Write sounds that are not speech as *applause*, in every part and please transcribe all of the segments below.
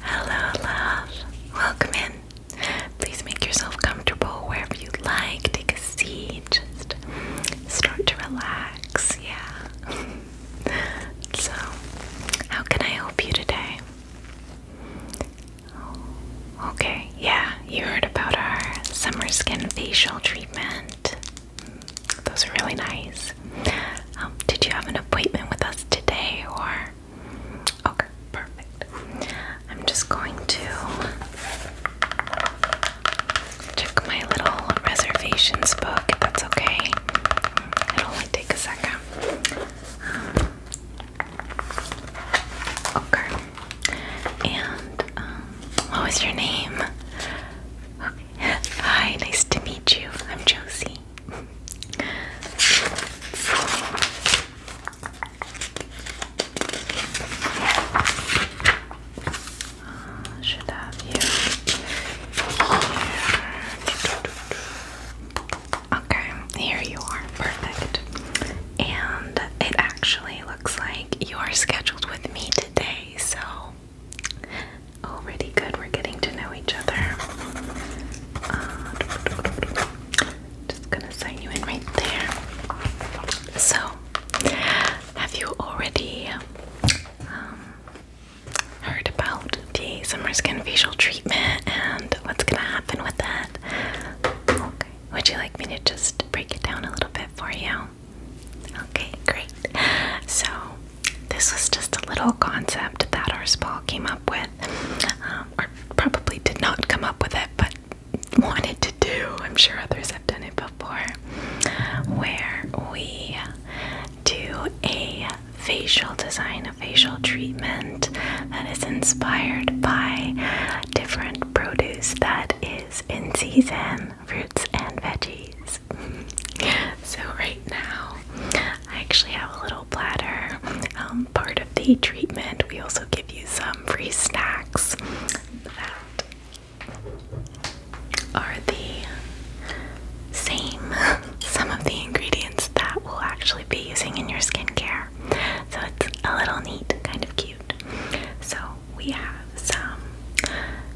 Hello, love. Welcome in. Please make yourself comfortable wherever you like. Take a seat. Just start to relax. Yeah. *laughs* so, how can I help you today? okay. Yeah, you heard about our summer skin facial treatment. Those are really nice. Um, did you have an appointment with us today or? Okay, perfect. I'm just going to check my little reservations book, that's okay. it only take a second. Um, okay. And um, what was your name? Hi, nice to meet you. I'm Josie should have you here. Okay, here you are. Perfect. And it actually looks like you are scheduled with me today, so already good. We're getting to know each other. Uh, just gonna sign you in right there. So, have you already um, heard about the summer skin facial treatment and what's gonna happen with that? Okay. Would you like me to just break it down a little bit for you? Okay, great. So, this was just a little concept that our spa came up with, um, or probably did not come up with it, but wanted to do. I'm sure others have done it before, where we do a facial design, a facial treatment that is inspired by different produce that is in season, fruits and veggies. *laughs* so, right now, I actually have a little platter. Um, part of the treatment, we also give you some free snacks. That are the same, *laughs* some of the ingredients that we'll actually be using in your skincare. So it's a little neat, kind of cute. So we have some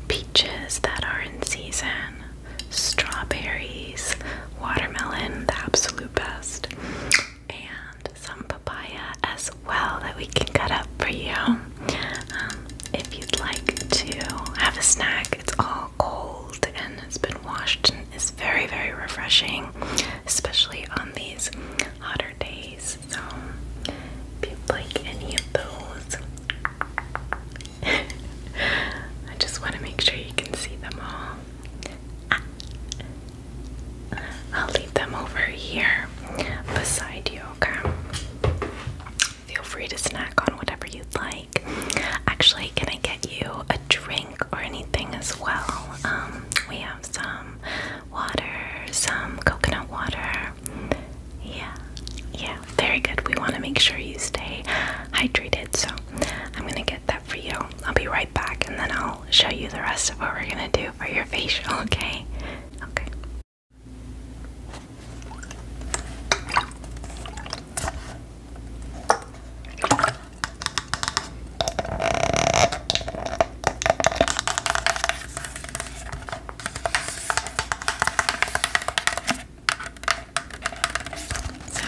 peaches that are in season strawberries, watermelon, the absolute best, and some papaya as well that we can cut up for you. Um, if you'd like to have a snack, it's all cold and it's been washed and it's very, very refreshing, especially on these hotter days. So, if you like any of those, *laughs* I just want to make sure you can see them all. Ah. I'll leave them over here beside you, okay? Feel free to snack on whatever you'd like. Actually, can I get you a drink or anything as well? Um, we have some water, some coconut water. Yeah, yeah, very good. We want to make sure you stay hydrated, so I'm gonna get that for you. I'll be right back and then I'll show you the rest of what we're gonna do for your *laughs* facial, okay? Okay. So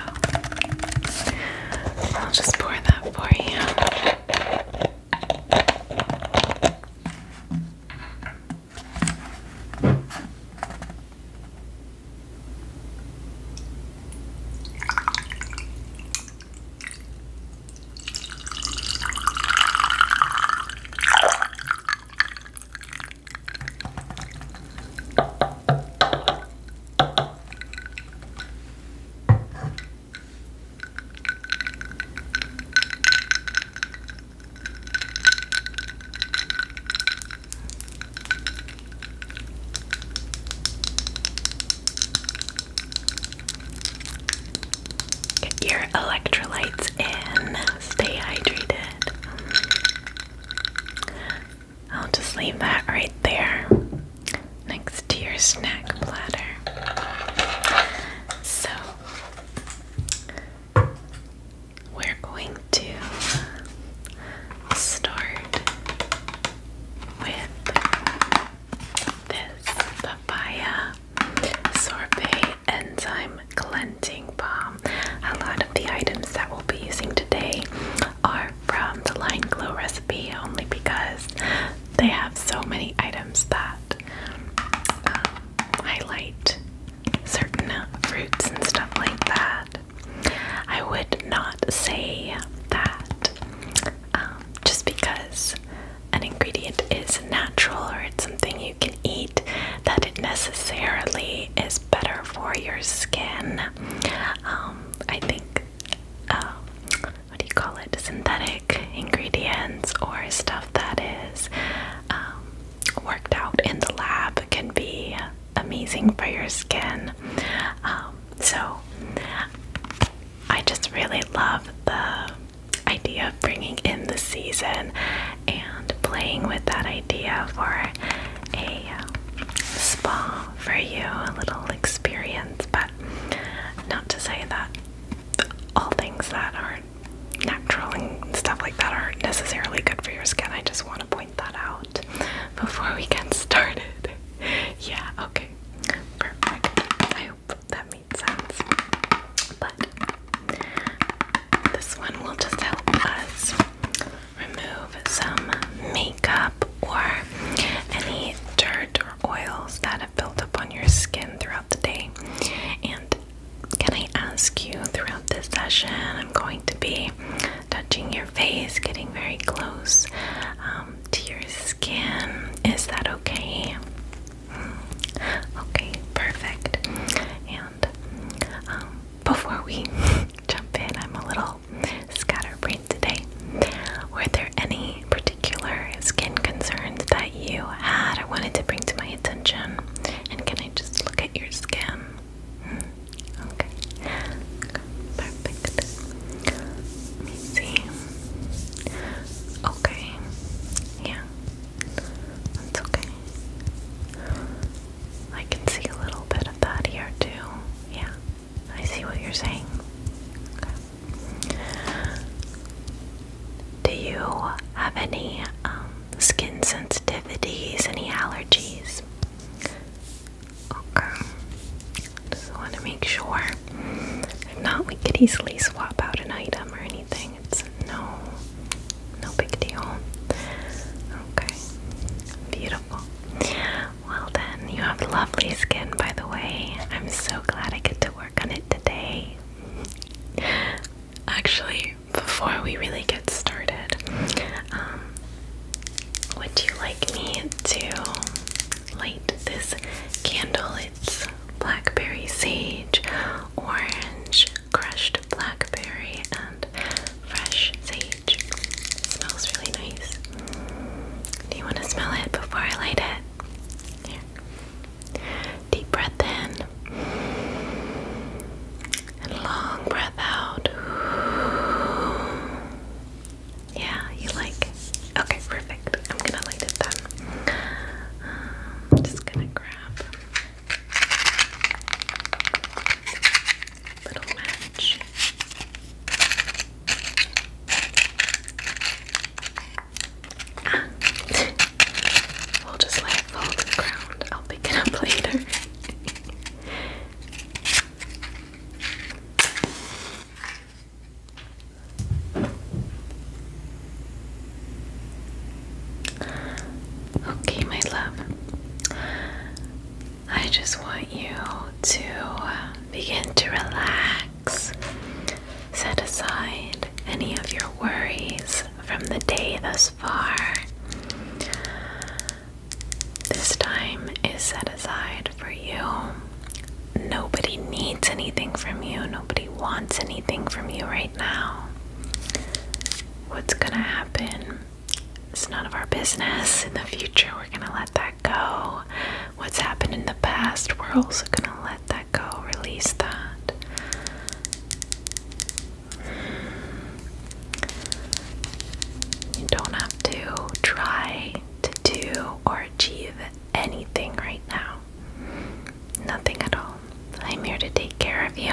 I'll just pour that for you. Get your electrolytes in, stay hydrated. I'll just leave that right there next to your snack platter. So, we're going to start with this papaya sorbet enzyme cleansing balm. A lot of the items that we'll be using today are from the Line Glow recipe only because they have so many items that um, highlight certain fruits and stuff like that. I would not say that um, just because an ingredient is natural or it's something you can eat, that it necessarily is better for your skin. Um, I think, um, what do you call it, synthetic ingredients or stuff that is um, worked out in the lab can be amazing for your skin. Um, so I just really love the idea of bringing in the season and playing with that idea for a spa for you, a little experience, but not to say that all things that are natural and stuff like that aren't necessarily good for your skin. I just want to point that out before we get started. *laughs* yeah, okay. Perfect. I hope that made sense. But this one will just help us remove some makeup or any dirt or oils that have built up on your skin throughout the day. And can I ask you throughout this session? I'm going to be touching your face, getting very close um, to your skin. Is that okay? Hmm. Okay, perfect. And um, before we *laughs* jump in, I'm a little Scatterbrain today. Were there any particular skin concerns that you had or wanted to bring to my attention? And can I just look at your skin? Hmm, okay. Perfect. Let me see. Okay. Yeah. That's okay. I can see a little bit of that here too. Yeah. I see what you're saying. Do you have any um, skin sensitivities, any allergies? Okay. Just want to make sure. If not, we could easily swap out an item or anything. It's no, no big deal. Okay. Beautiful. Well, then, you have lovely skin, by the way. I'm so glad I get to work on it today. Actually, before we really get started, um, would you like me to light this candle? It's blackberry sage, orange, crushed blackberry, and fresh sage smells really nice. Do you want to smell it before I light it? Here. Deep breath in. And long breath out. Yeah, you like Okay, perfect. I'm gonna light it then. Um, just gonna grab little will just let it the ground. I'll pick it up later. *laughs* Okay, my love. I just want you to uh, begin to relax. Set aside any of your worries from the day thus far. This time is set aside for you. Nobody needs anything from you, nobody wants anything from you right now. What's gonna happen? It's none of our business. In the future, we're gonna let that go. What's happened in the past, we're also going to let that go, release that. You don't have to try to do or achieve anything right now. Nothing at all. I'm here to take care of you,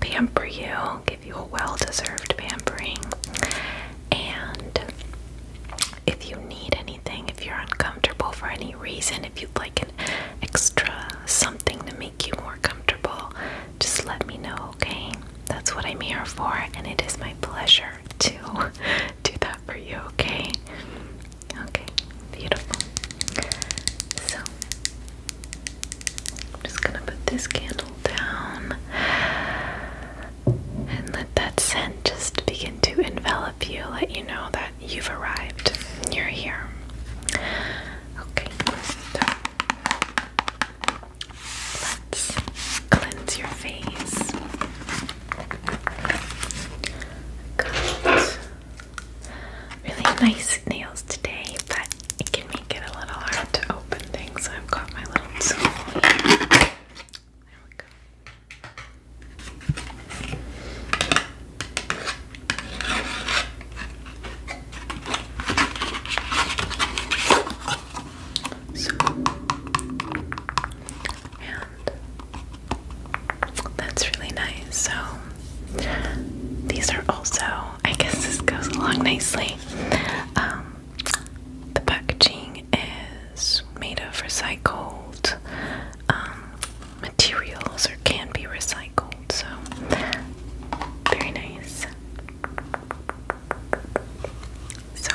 pamper you, give you a well deserved pampering, and if you need anything, if you're uncomfortable for any reason, if you'd like an extra something to make you more comfortable, just let me know, okay? That's what I'm here for, and it is my pleasure to *laughs* do that for you, okay? Okay, beautiful. So, I'm just gonna put this candle down and let that scent just begin to envelop you, let you know that you've arrived, you're here. Okay, let's cleanse your face. Good. Really nice nails today, but it can make it a little hard to open things, I've got my little so, and that's really nice. So, these are also, I guess this goes along nicely. Um, the packaging is made of recycled um, materials or can be recycled, so very nice. So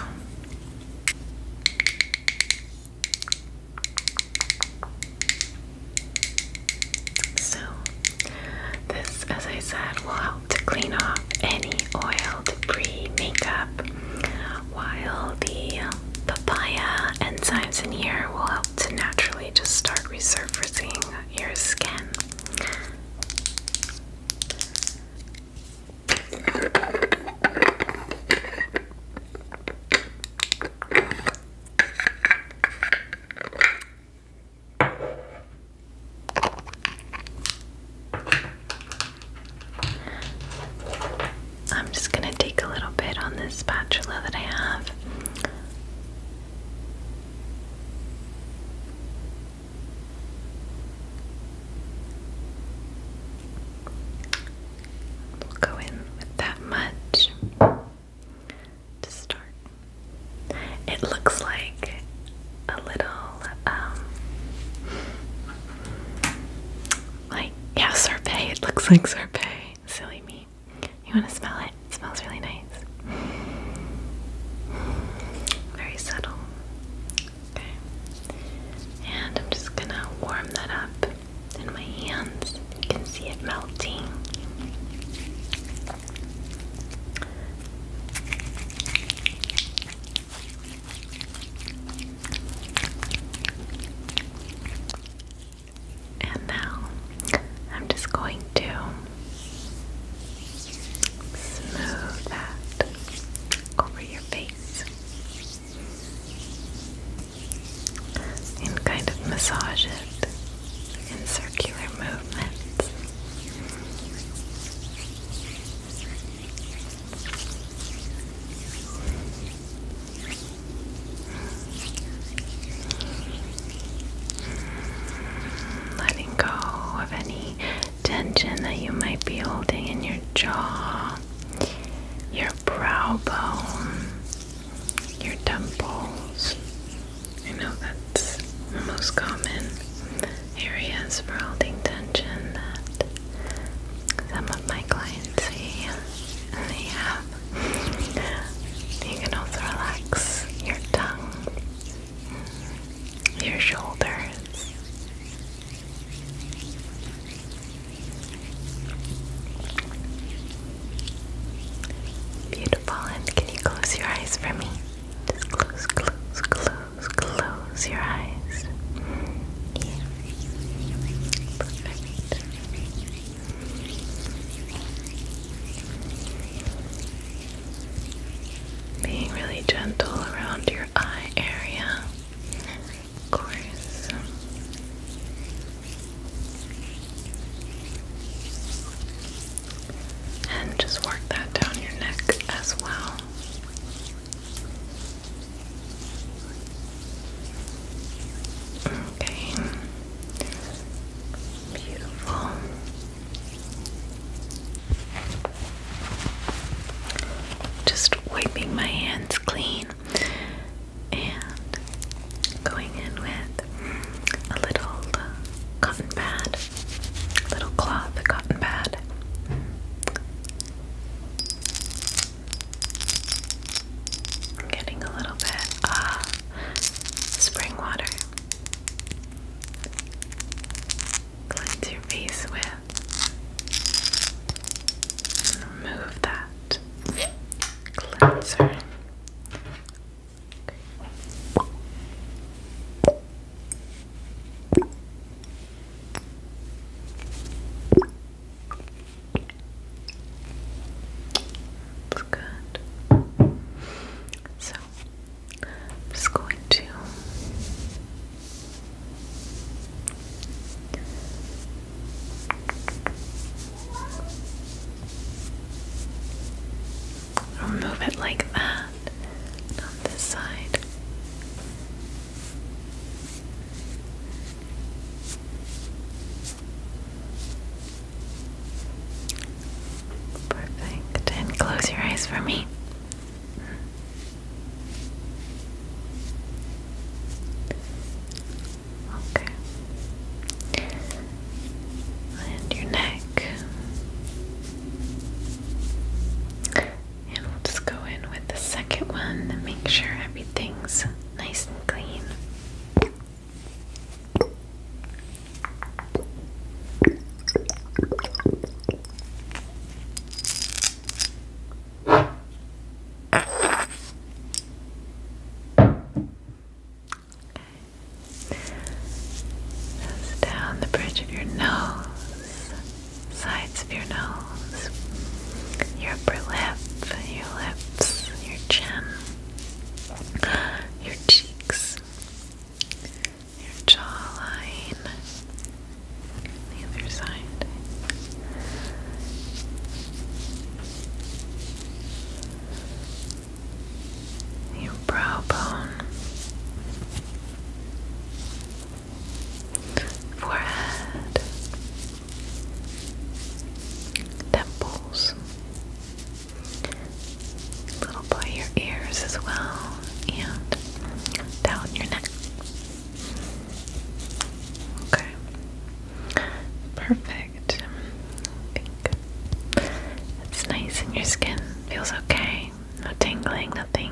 so, this, as I said, will to clean off any oil debris makeup while the papaya enzymes in here will help to naturally just start resurfacing your skin. I'm just going to take a little bit on this spatula that I have. We'll go in with that much to start. It looks like a little um like yeah sorbet it looks like sorbet silly me you want to smell it? it smells really nice very subtle okay and I'm just gonna warm that up in my hands you can see it melting and now I'm just going to smooth that over your face and kind of massage it in circular movements. Letting go of any tension that you might be holding in your jaw, your brow bone, your temples. I know that's most common areas for holding tension that some of my clients see and they have. You can also relax your tongue, your shoulders. Beautiful, and can you close your eyes for me? Just close, close, close close your eyes. Perfect. Being really gentle around your eye area, of course. And just work that down your neck as well. Okay. Beautiful. Just wiping my hands clean and going in with a little uh, cotton pad, little cloth cotton pad getting a little bit spring water. Cleanse your face with remove that cleanser. It's good. So I'm just going to remove it like that and on this side. Perfect. And close your eyes for me. Okay. And your neck. And we'll just go in with the second one and make sure everything's nice and clean. down the bridge of your nose sides of your nose, your upper lip, your lips, your chin, your cheeks, your jawline, the other side. Your brow bone, forehead, temples, a little by your ears as well, and down your neck. Okay. Perfect. I think it's nice in your skin. Feels okay. No tingling, nothing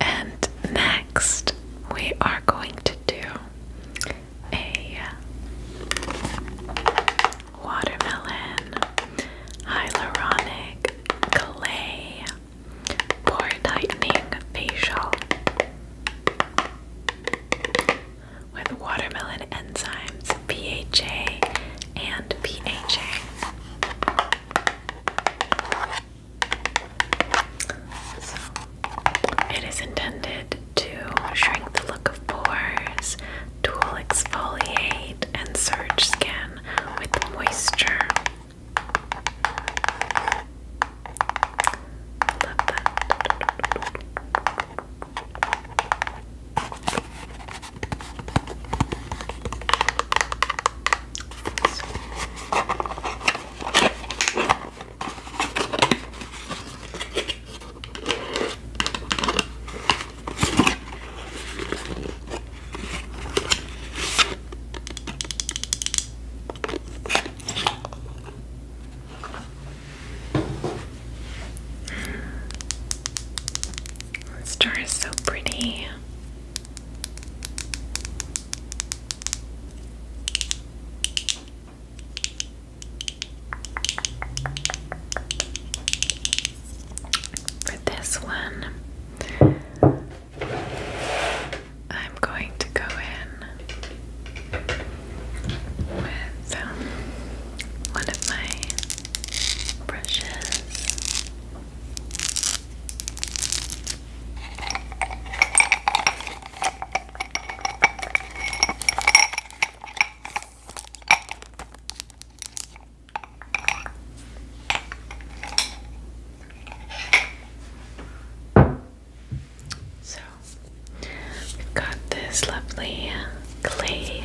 And next, we are going to do a watermelon hyaluronic clay pore tightening facial with watermelon enzymes PHA and PHA it is intended to shrink the look of pores, dual exfoliate, and surge skin with moisture. The star is so pretty. For this one, I'm going to go in with um, one of my brushes. So we've got this lovely clay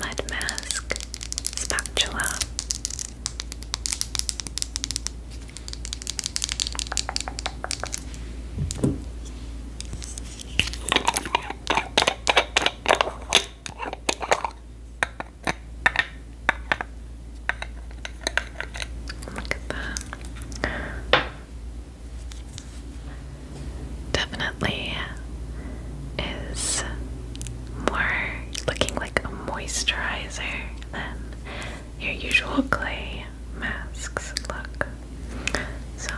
mud mask spatula. Look at that. Definitely is more looking like a moisturizer than your usual clay masks look. So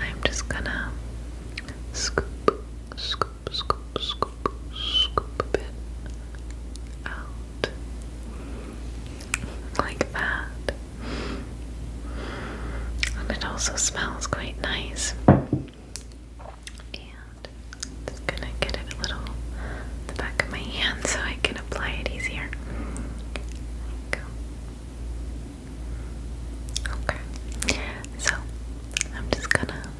I'm just gonna scoop, scoop, scoop, scoop, scoop a bit out like that. And it also smells quite nice. I'm just gonna get it a little the back of my hand so I can apply it easier. Okay. So I'm just gonna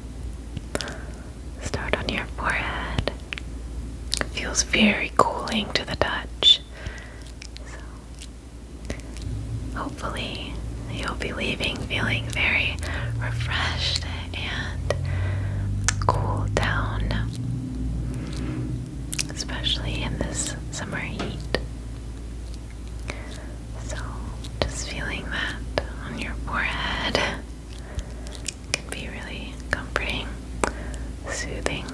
start on your forehead. feels very cooling to the touch. So hopefully you'll be leaving feeling very refreshed and cool down, especially in this summer heat. So, just feeling that on your forehead can be really comforting, soothing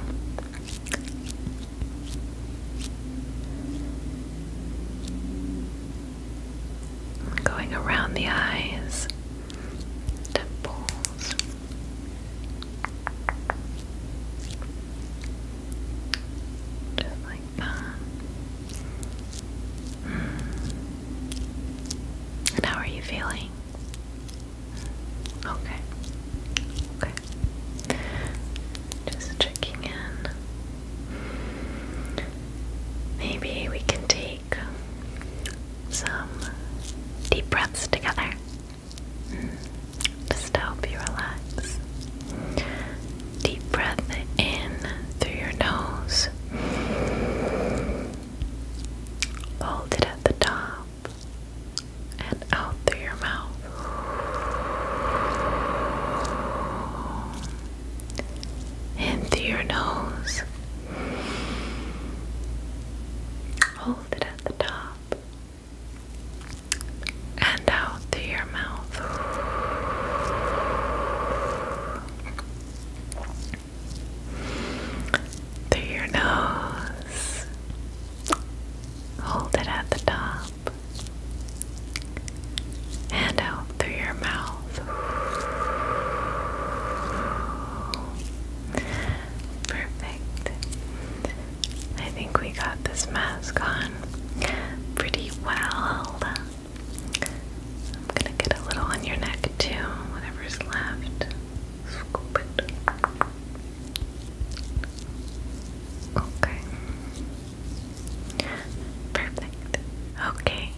going around the eyes, temples. Just like that. Hmm. how are you feeling? Okay. Okay. Just checking in. Maybe we can take take some deep breaths together mm. just help you relax. Deep breath in through your nose, hold it at the top, and out through your mouth. In through your nose. Hold it at the top and out through your mouth. Through your nose. Hold it at the top and out through your mouth. Perfect. I think we got this mask on pretty well. I'm gonna get a little on your neck too, whatever's left. Scoop it. Okay. Perfect. Okay,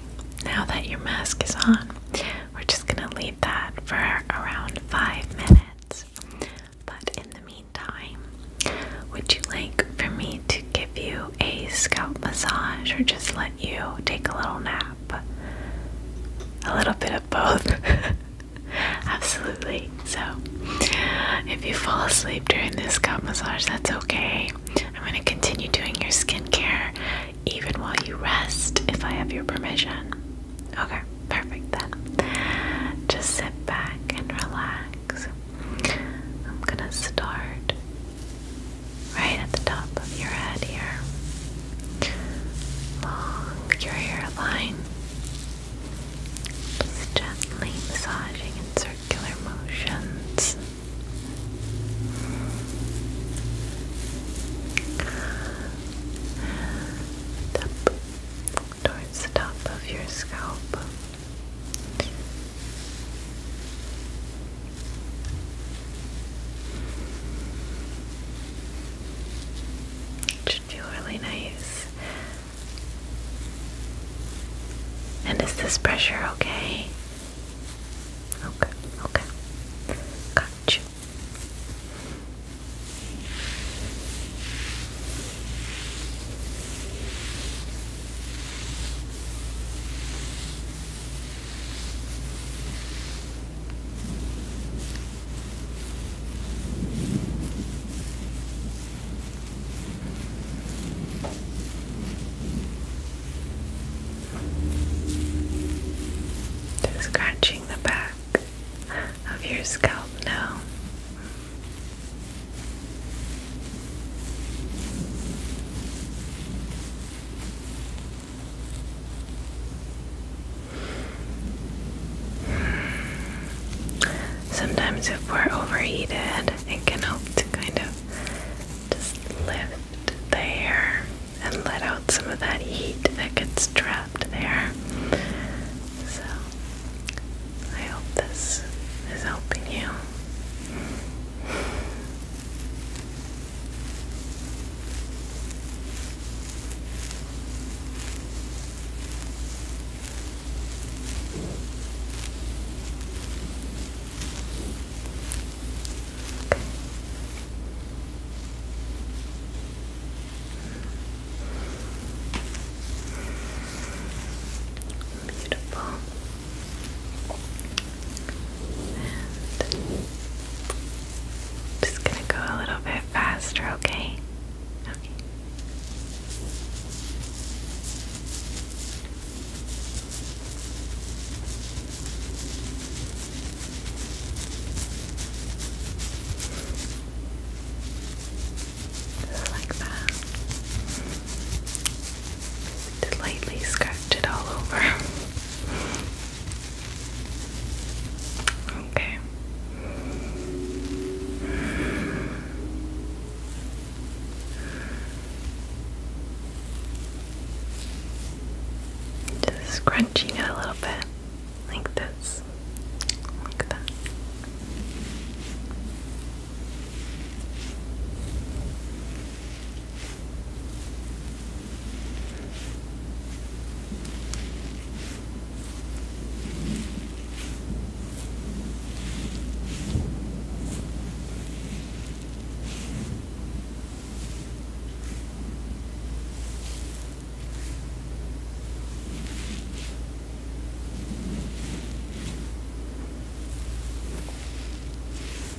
now that your mask is on, we're just going to leave that for around five minutes. But in the meantime, would you like for me to give you a scalp massage or just let you take a little nap? A little bit of both. *laughs* Absolutely. So, if you fall asleep during this scalp massage, that's okay. I'm going to continue doing your skincare even while you rest, if I have your permission. Okay, perfect then. Just sit back and relax. I'm gonna start right at the top of your head here, along your hairline. Just gently massaging in circular motions. Up towards the top of your scalp. should feel really nice. And is this pressure okay? Okay, okay. Got you scratching the back of your scalp now. Sometimes, if we're overheated, it can help to kind of just lift the and let out some of that heat that gets trapped there. So, I hope this is helping you. Beautiful. And just gonna go a little bit faster, okay? Okay. Like that. lightly scratch it all over. *laughs* okay. Just scrunching it a little bit, like this, like that.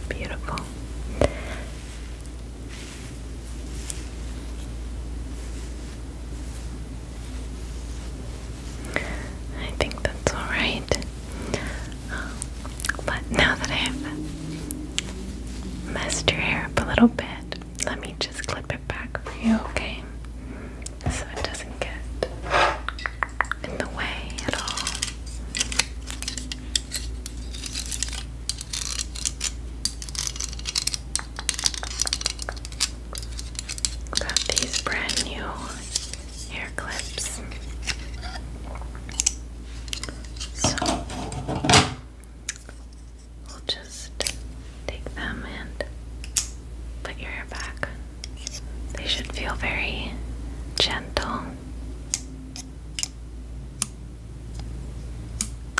Beautiful. I think that's all right. But now that I've messed your hair up a little bit, let me just clip it back for you, okay? So it doesn't get in the way at all. Got these brand new hair clips. So we'll just take them and put your hair back. They should feel very gentle.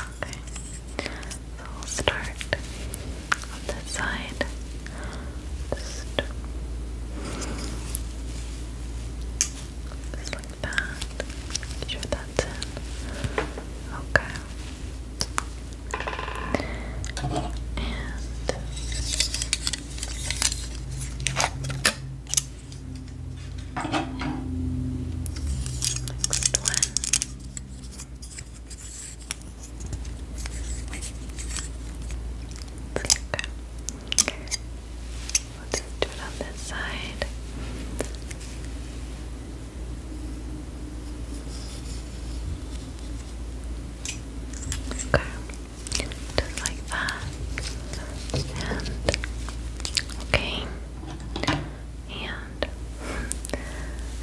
Okay, so we'll start on this side. Just like that. Make sure in. Okay. And next one. Okay. Let's do it on this side. Okay, just like that. And okay, and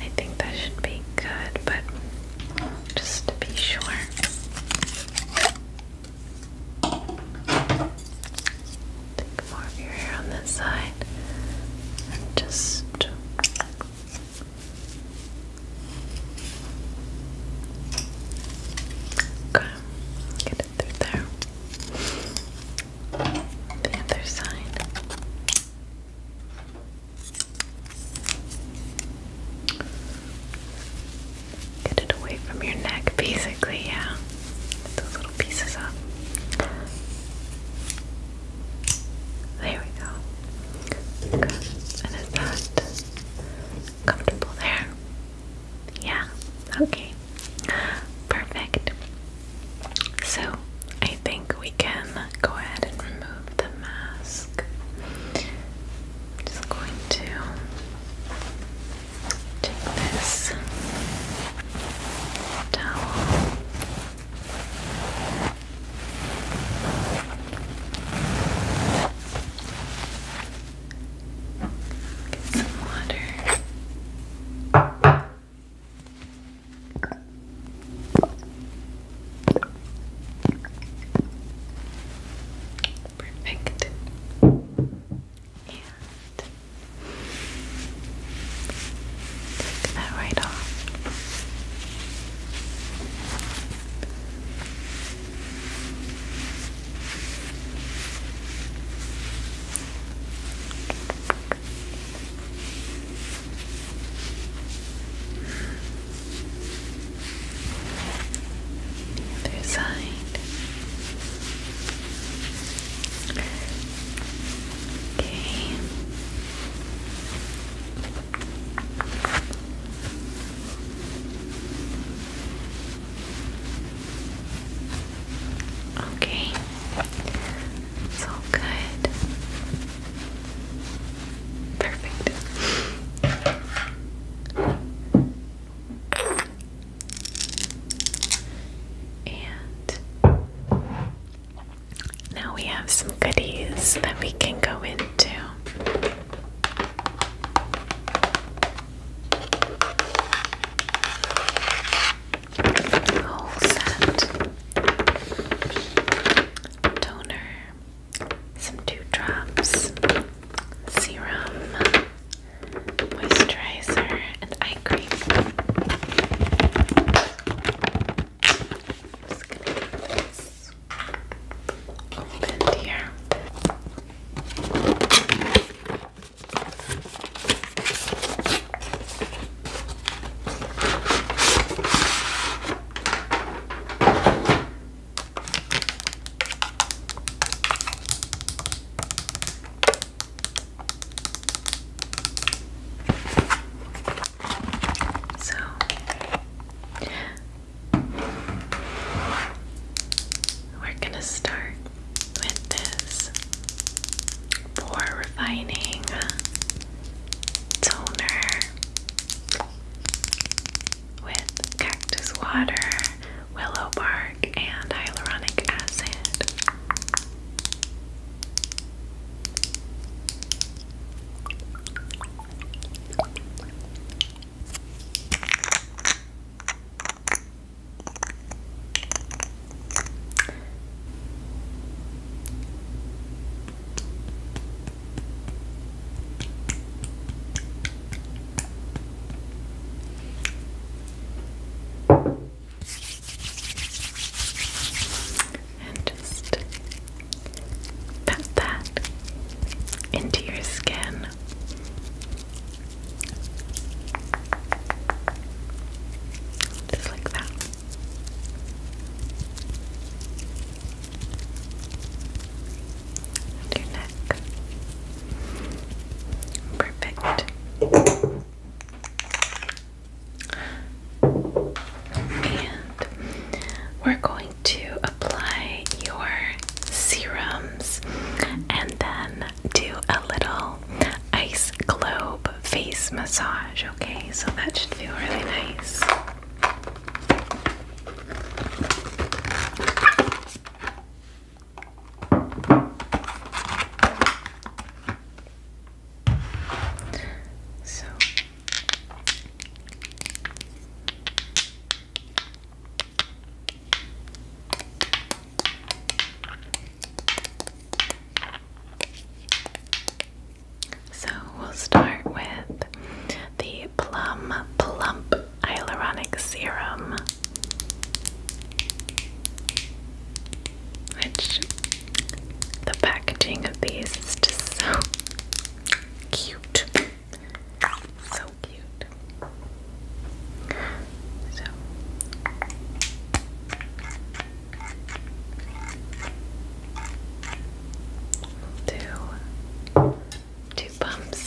I think that should be good, but just to be sure. Take more of your hair on this side just okay. get it through there. The other side. Get it away from your neck, basically, yeah. those little pieces up. There we go. Good. And is that comfortable there? Yeah, okay. Perfect. So, I think we can go ahead and remove the mask. just going to take this towel. Get some water. Perfect. And that. Take that right off the other side. Okay. Okay. It's good. Perfect. And now we have some goodies that we can go into. whole set toner, some dewdrops, serum, moisturizer and eye cream. just gonna get here. So we're going to start with this pore refining toner with cactus water willow bark, and hyaluronic acid. And just pat that into your skin. Just like that. your neck. Perfect. And we're going to apply your serums and then do a little ice globe face massage, okay? So that should feel really nice. So so we'll start with the Plum Plump Hyaluronic Serum. Which the packaging of these is just so cute. So cute. So we two pumps.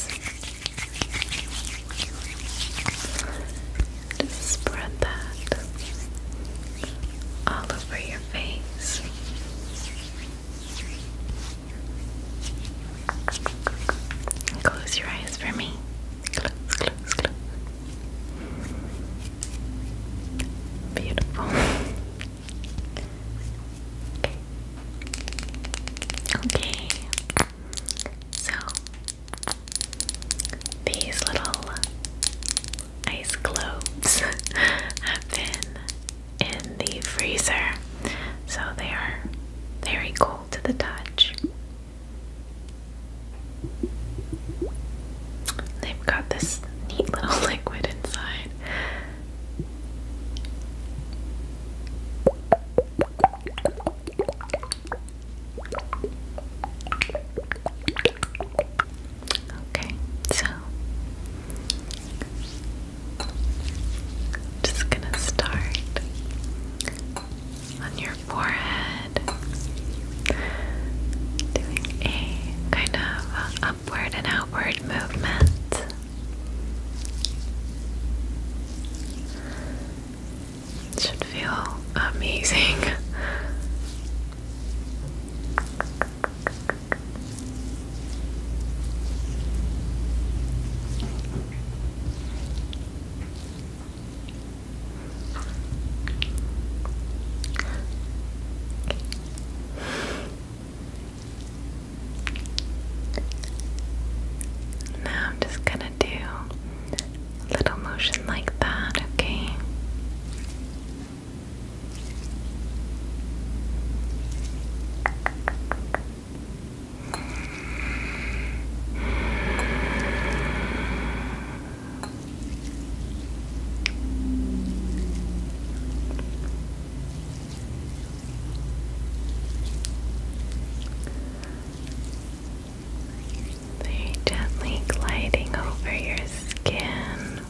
Just spread that all over your face. Close your eyes for me. Close, close, close. Beautiful. *laughs* Okay. Okay. So these little ice globes *laughs* have been in the freezer, so they are very cold to the touch. They've got this neat little *laughs* liquid inside. Okay, so just gonna start on your forehead, doing a kind of upward and outward movement. It should feel amazing. Now I'm just going to do little motion like that, okay? Very gently gliding over your skin.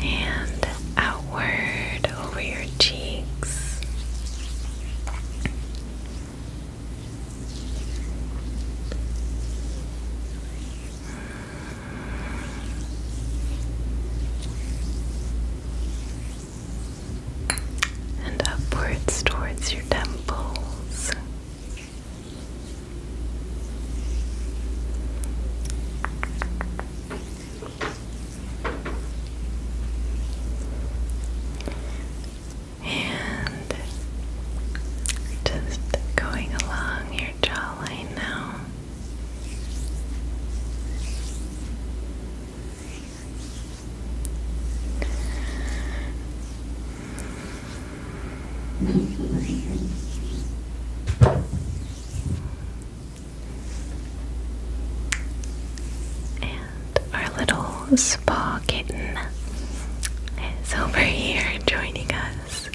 And outward over your cheeks. And upwards towards your temples. And just going along your jawline now. And our little spa kitten is over here joining us.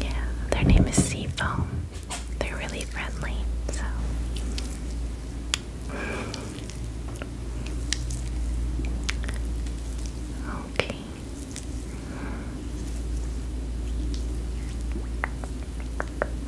Yeah, their name is Seafoam. They're really friendly, so. Okay.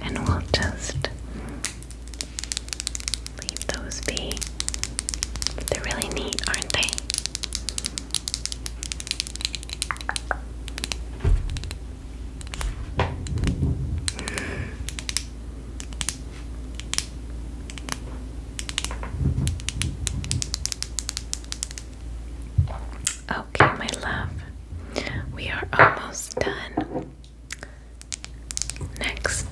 And we'll just leave those be. They're really neat, aren't they? Okay, my love, we are almost done. Next,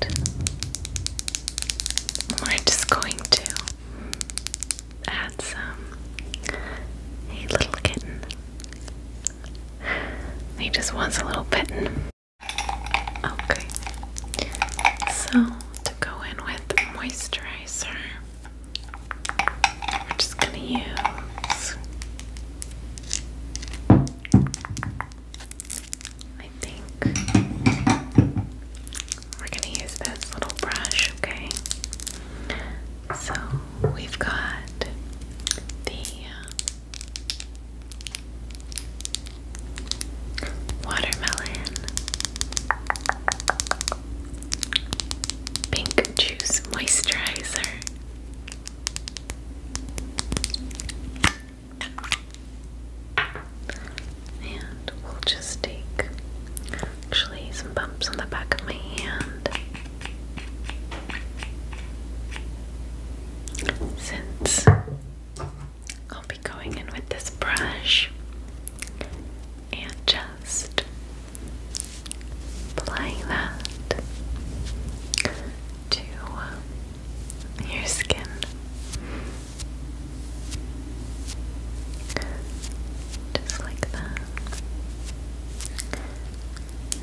we're just going to add some. Hey, little kitten. He just wants a little bit. Okay. So, to go in with moisturizer, we're just going to use. I think we're going to use this little brush, okay? So we've got the um, watermelon, pink juice moisturizer. And we'll just take actually some bumps on the back of my hand. Since I'll be going in with this brush and just applying that to your skin. Just like that.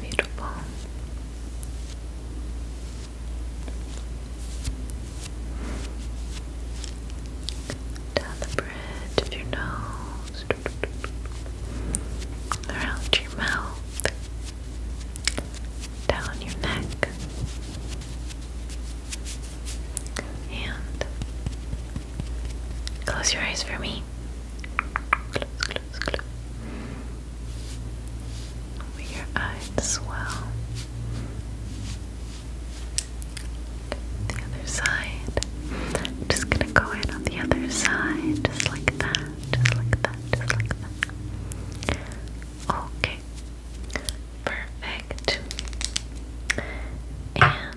Beautiful. Down the bridge of your nose, around your mouth, down your neck, and close your eyes for me just close. Over your eyes as well. The other side. just gonna go in on the other side, just like that, just like that, just like that. Okay. Perfect. And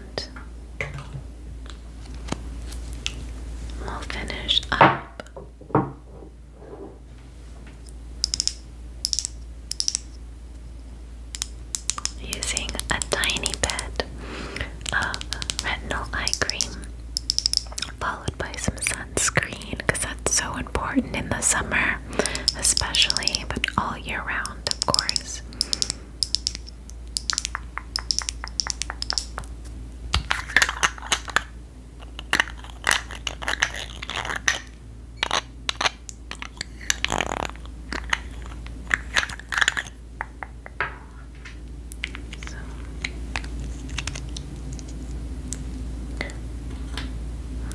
i will finish up using a tiny bit of retinol eye cream, followed by some sunscreen because that's so important in the summer, especially, but all year round, of course. So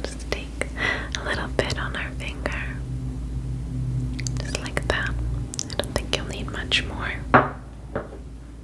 just take a little bit on our finger. Just like that. I don't think you'll need much more.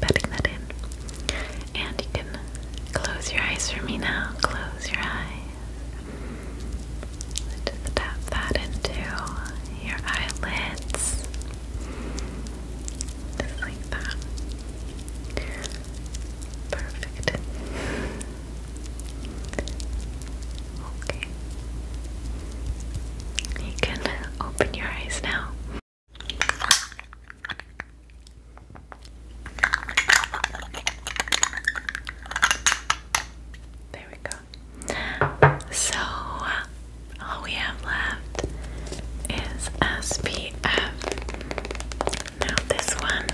Petting that in. And you can close your eyes for me now. Close your eyes. Just tap that into your eyelids. Just like that. Perfect. Okay. You can open your eyes now. There we go. So, all we have left is SPF. Now, this one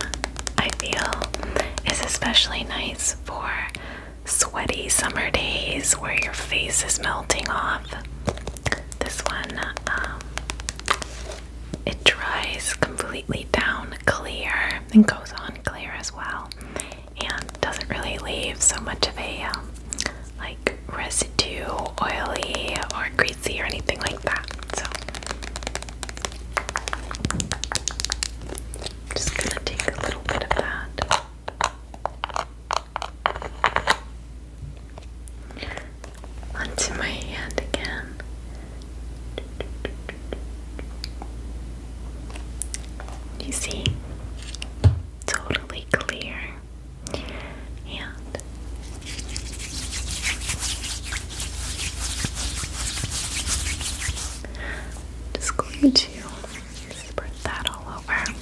I feel is especially nice for sweaty summer days where your face is melting off. This one, um, it dries completely down clear and goes on clear as well, and doesn't really leave so much of a um, like residue, oily or greasy or anything like that. So, just gonna take a little bit of that onto my hand again. You see, totally clear. And just going to spread that all over.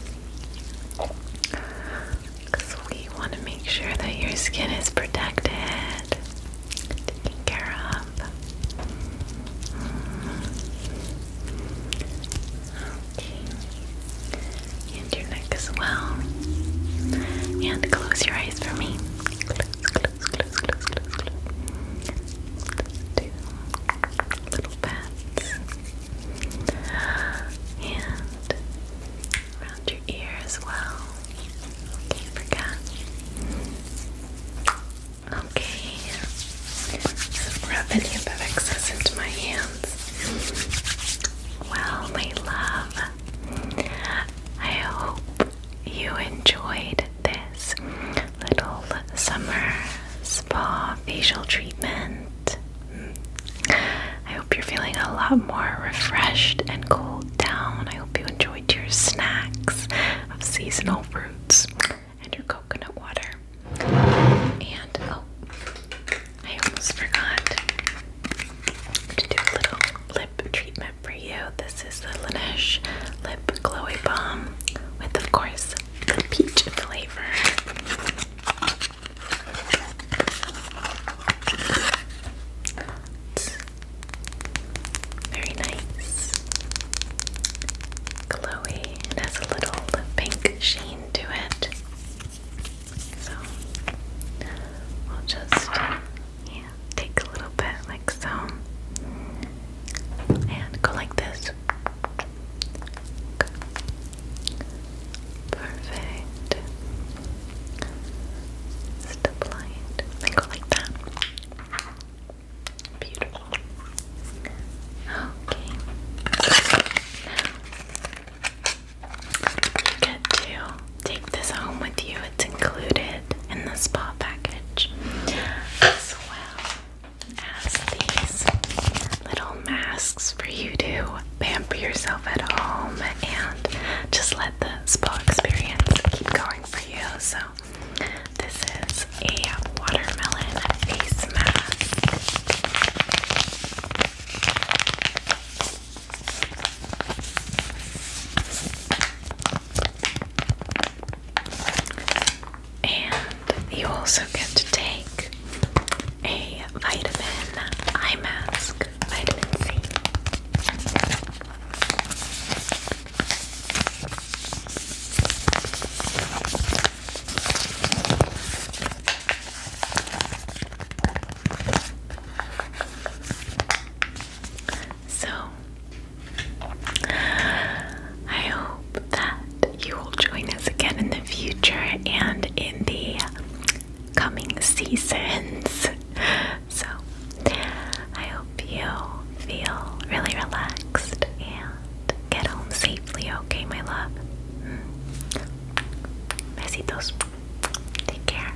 Because we want to make sure that your skin is protected, taken care of. Okay. And your neck as well. And close your eyes for me. Close, little bats. And around your ear as well. can forget. Okay, so rubbing your bed excess into my hands. Well, my love, I hope you enjoyed this little summer spa facial treatment. I hope you're feeling a lot more refreshed and cooled down. I hope you enjoyed your snacks of seasonal fruits and your coconut water. And oh, I almost forgot to do a little lip treatment for you. This is the Laneige Lip Glowy Balm with, of course, the peach flavor. Very nice. Glowy. It has a little pink sheen to it. So we'll just yeah, take a little bit like so. And go like this. Perfect. Just apply go like that. Beautiful. Okay. get to take this home with you. It's included in the spa package, as well as these little masks for you to pamper yourself at home and just let the spa experience keep going for you. So, this is a watermelon face mask. And you also get to take a vitamin eye mask so, I hope that you will join us again in the future and in the coming seasons. So, I hope you feel really relaxed and get home safely, okay, my love? Mm. Besitos. Take care.